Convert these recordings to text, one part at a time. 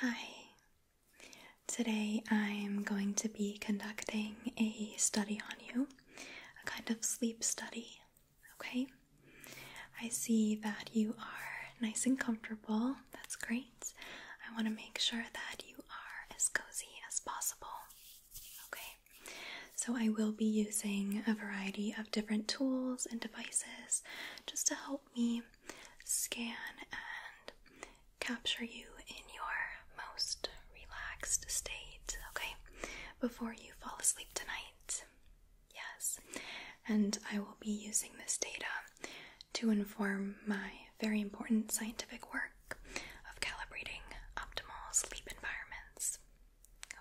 Hi. Today I'm going to be conducting a study on you, a kind of sleep study, okay? I see that you are nice and comfortable. That's great. I want to make sure that you are as cozy as possible, okay? So I will be using a variety of different tools and devices just to help help me scan and capture you in your most relaxed state, okay? Before you fall asleep tonight. Yes. And I will be using this data to inform my very important scientific work of calibrating optimal sleep environments.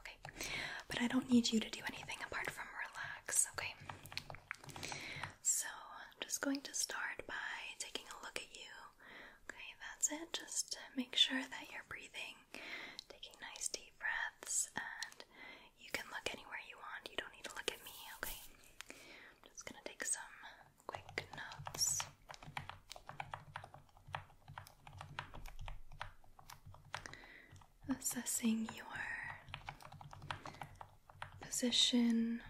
Okay. But I don't need you to do anything apart from relax, okay? So I'm just going to start by taking a look at you. Okay, that's it. Just to make sure that you're breathing, taking nice deep breaths, and you can look anywhere you want. You don't need to look at me, okay? I'm just gonna take some quick notes assessing your position.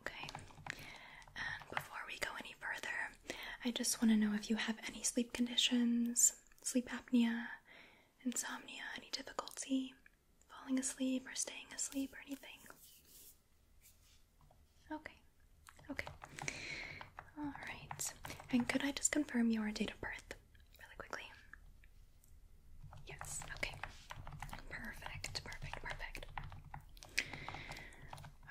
Okay, and before we go any further, I just want to know if you have any sleep conditions, sleep apnea, insomnia, any difficulty falling asleep or staying asleep or anything. Okay, Okay. All right. And could I just confirm your date of birth really quickly? Yes. Okay. Perfect. Perfect. Perfect.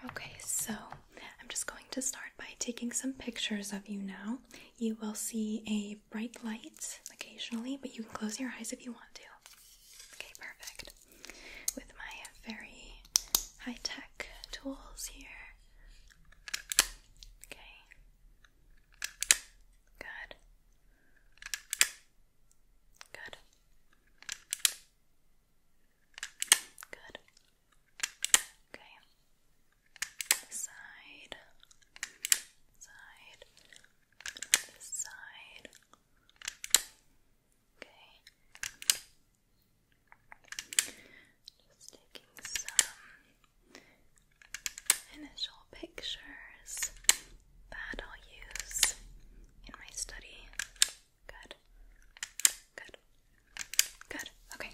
Okay, so I'm just going to start by taking some pictures of you now. You will see a bright light occasionally, but you can close your eyes if you want to. Okay, perfect. With my very high tech tools here, Okay. Good. Good. Good. Okay. side. Side. side. Okay. Just taking some initial pictures that I'll use in my study. Good. Good. Good. Okay.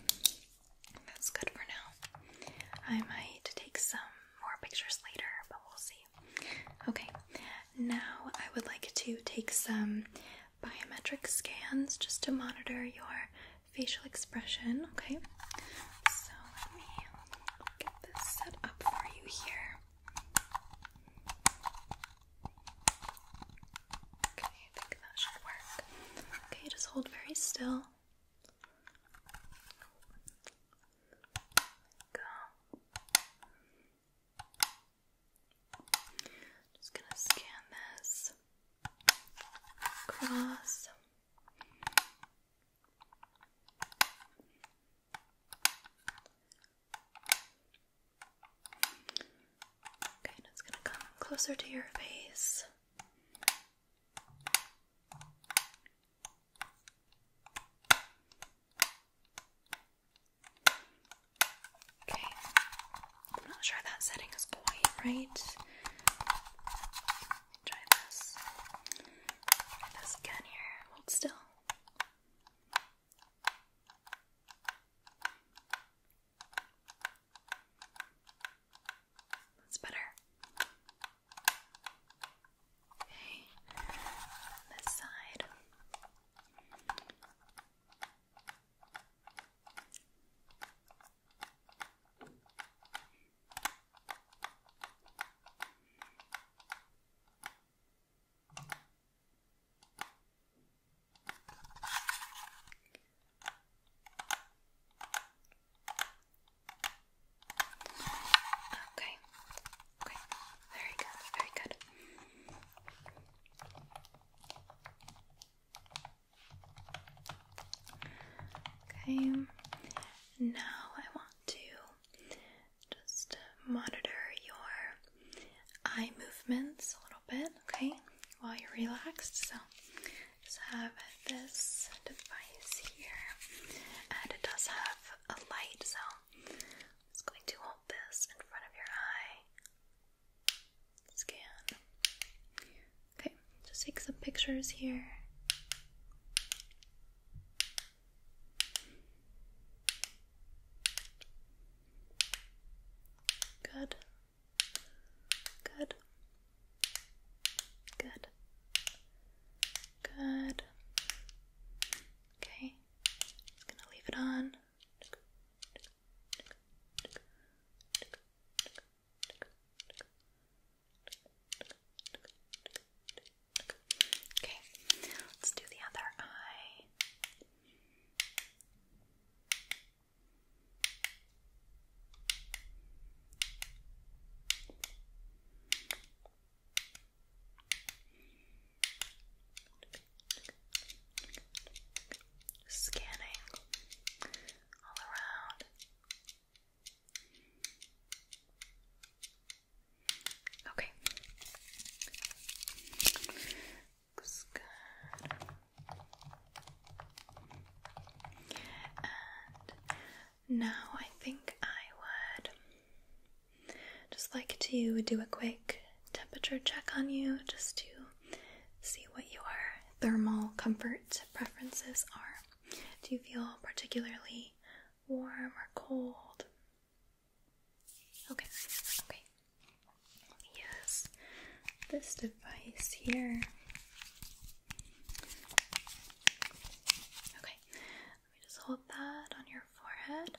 That's good for now. I might take some more pictures later, but we'll see. Okay. Now I would like to take some biometric scans just to monitor your facial expression, okay? So let me get this set up for you here. Okay, I think that should work. Okay, just hold very still. Go. Just gonna scan this across. Okay, it's gonna come closer to your face. Okay. I'm not sure that setting is quite right. Try this. Try this again here. Hold still. That's better. Okay. this side. Okay. Okay. Very good. Very good. Okay, now I want to just monitor your eye movements a little bit, okay, while you're relaxed. So just have this device here, and it does have a light, so I'm just going to hold this in front of your eye. Scan. Okay, just take some pictures here. Good. Good. Good. Good. Okay. Just gonna leave it on. Okay, let's do the other eye scanning all around. Okay. And now I think I would just like to do a quick temperature check on you just to see what your thermal comfort preferences are. Do you feel particularly warm or cold? Okay, okay. Yes, this device here. Okay, let me just hold that on your forehead.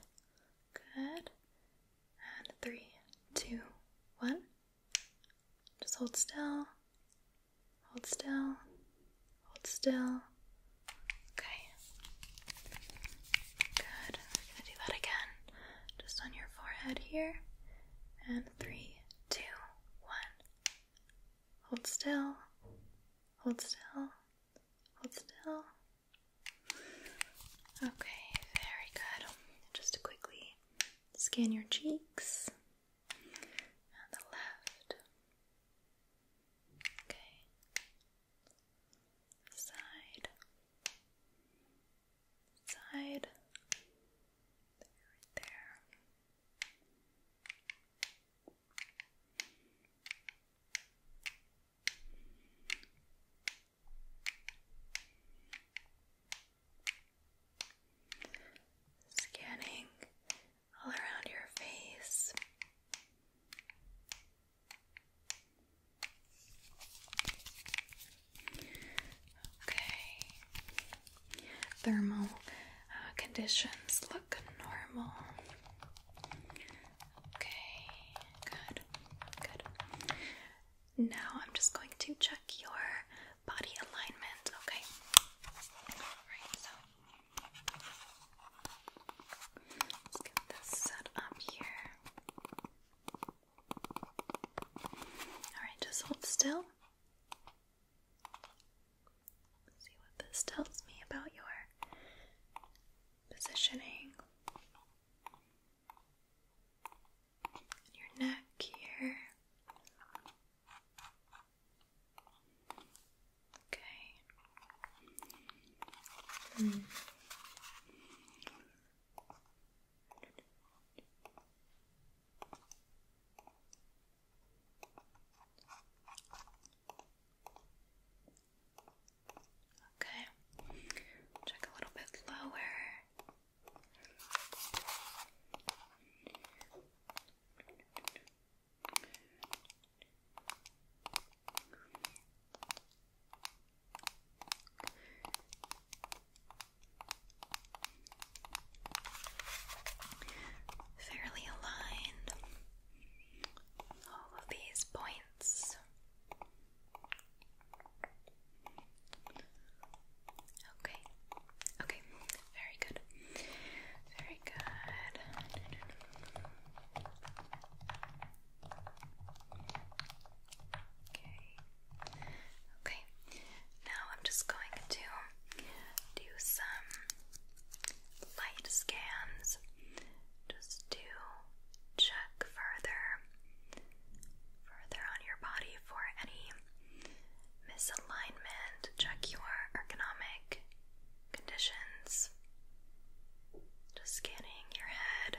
Good. And three, two, one. Just hold still. Hold still. Hold still. Okay. Good. going to do that again. Just on your forehead here. And three, two, one. Hold still. Hold still. Hold still. Okay, very good. Just quickly Scan your cheeks on the left. Okay. Side. Side. Right there. Scanning all around your face. Okay, thermal uh, conditions look normal. Okay, good, good. Now I'm just going to check your body alignment, okay? Alright, so let's get this set up here. Alright, just hold still. see what this tells me about your positioning your neck here. Okay. Hmm. Okay. Check a little bit lower. Fairly aligned all of these points. Okay. Okay. Very good. Very good. Okay. Okay. Now I'm just going to do some light scans just to check further further on your body for any misalignment, check your ergonomic conditions. Just scanning your head.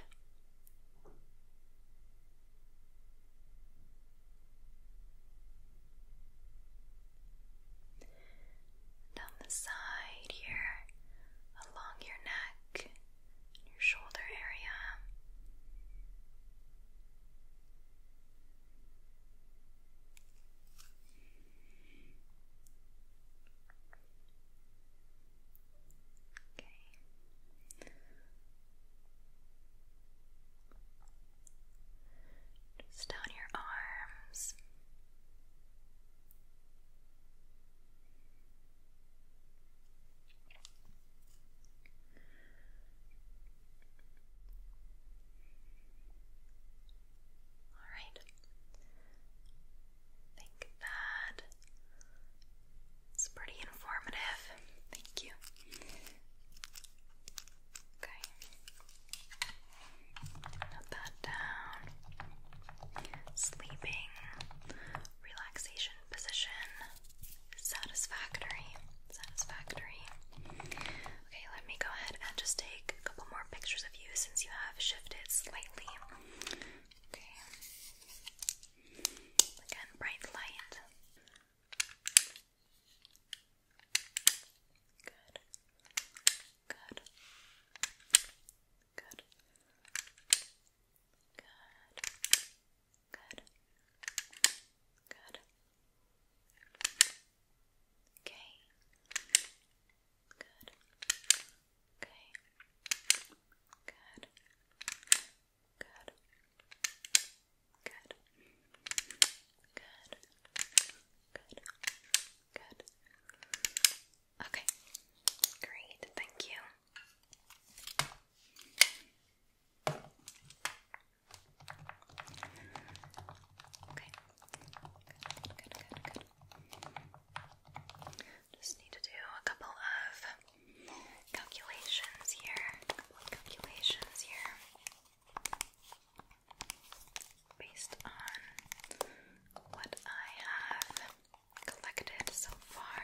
Down the side here, along your neck your shoulder area. Okay. Just down your arms. All right. think that it's pretty informative. Thank you. Okay. Note that down. Sleeping, relaxation position, Satisfactory. Satisfactory. Okay, let me go ahead and just take a couple more pictures of you since you have shifted slightly. Okay. Again, bright light. Good. Good. Good. Good. Good. Good. Okay. Good. Okay. Good. Good. Good. Good. Good. Good. Okay. Great. Thank you. Okay. Good, Just need to do a couple of calculations here. calculations here. Based on what I have collected so far.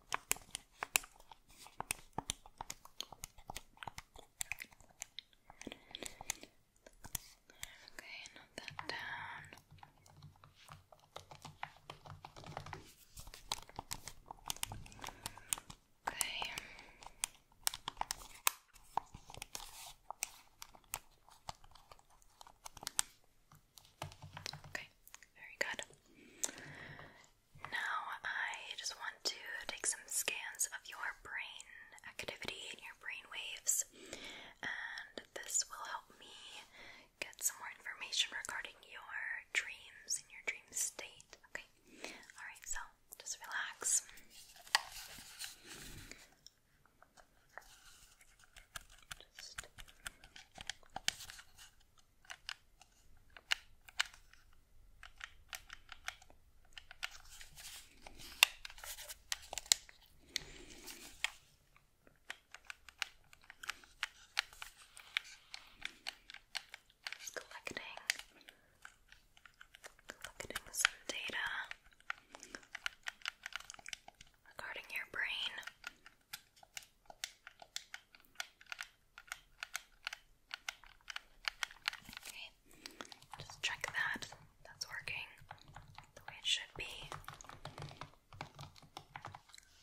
Okay, note that down. Okay. Okay, very good. Now I just want to take some scans of your brain activity and your brain waves, and this will help me get some more information regarding your dreams and your dream state. Okay, alright, so just relax. Just collecting, collecting some data regarding your brain. Okay, just check that. That's working the way it should be.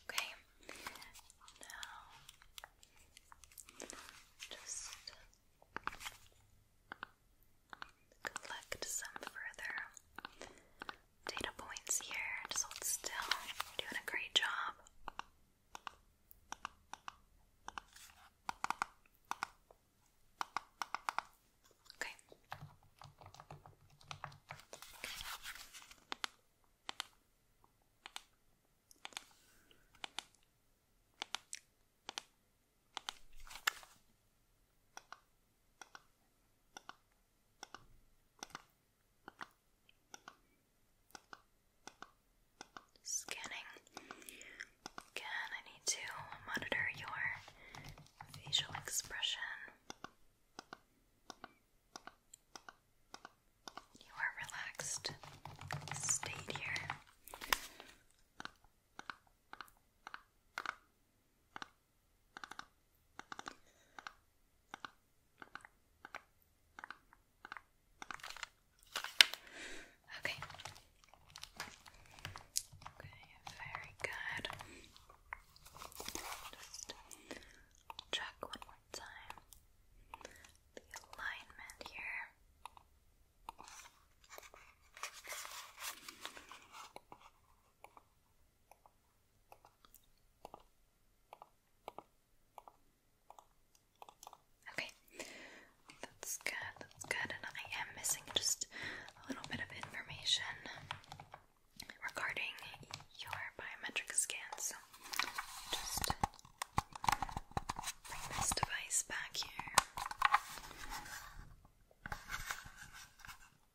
Okay, now just collect some further data points here. So hold still. doing a great job. Okay. Scanning. Again, I need to monitor your facial expression. You are relaxed. Stayed here. Okay. Okay, very good. Just check one more time the alignment here. Okay, that's good, that's good. And I am missing just a little bit of information regarding your biometric scan, so just bring this device back here.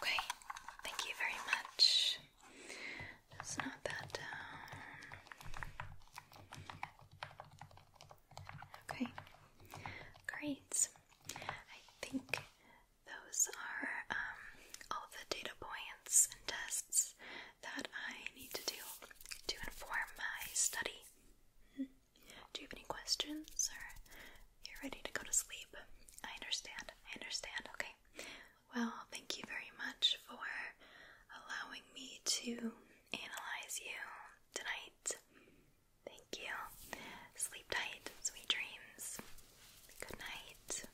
Okay, thank you very much. Just note that down. Okay, great. I think those are um, all the data points and tests that I need to do to inform my study. Hmm. Do you have any questions or you're ready to go to sleep. I understand. I understand. Okay. Well, thank you very much for allowing me to analyze you tonight. Thank you. Sleep tight. Sweet dreams. Good night.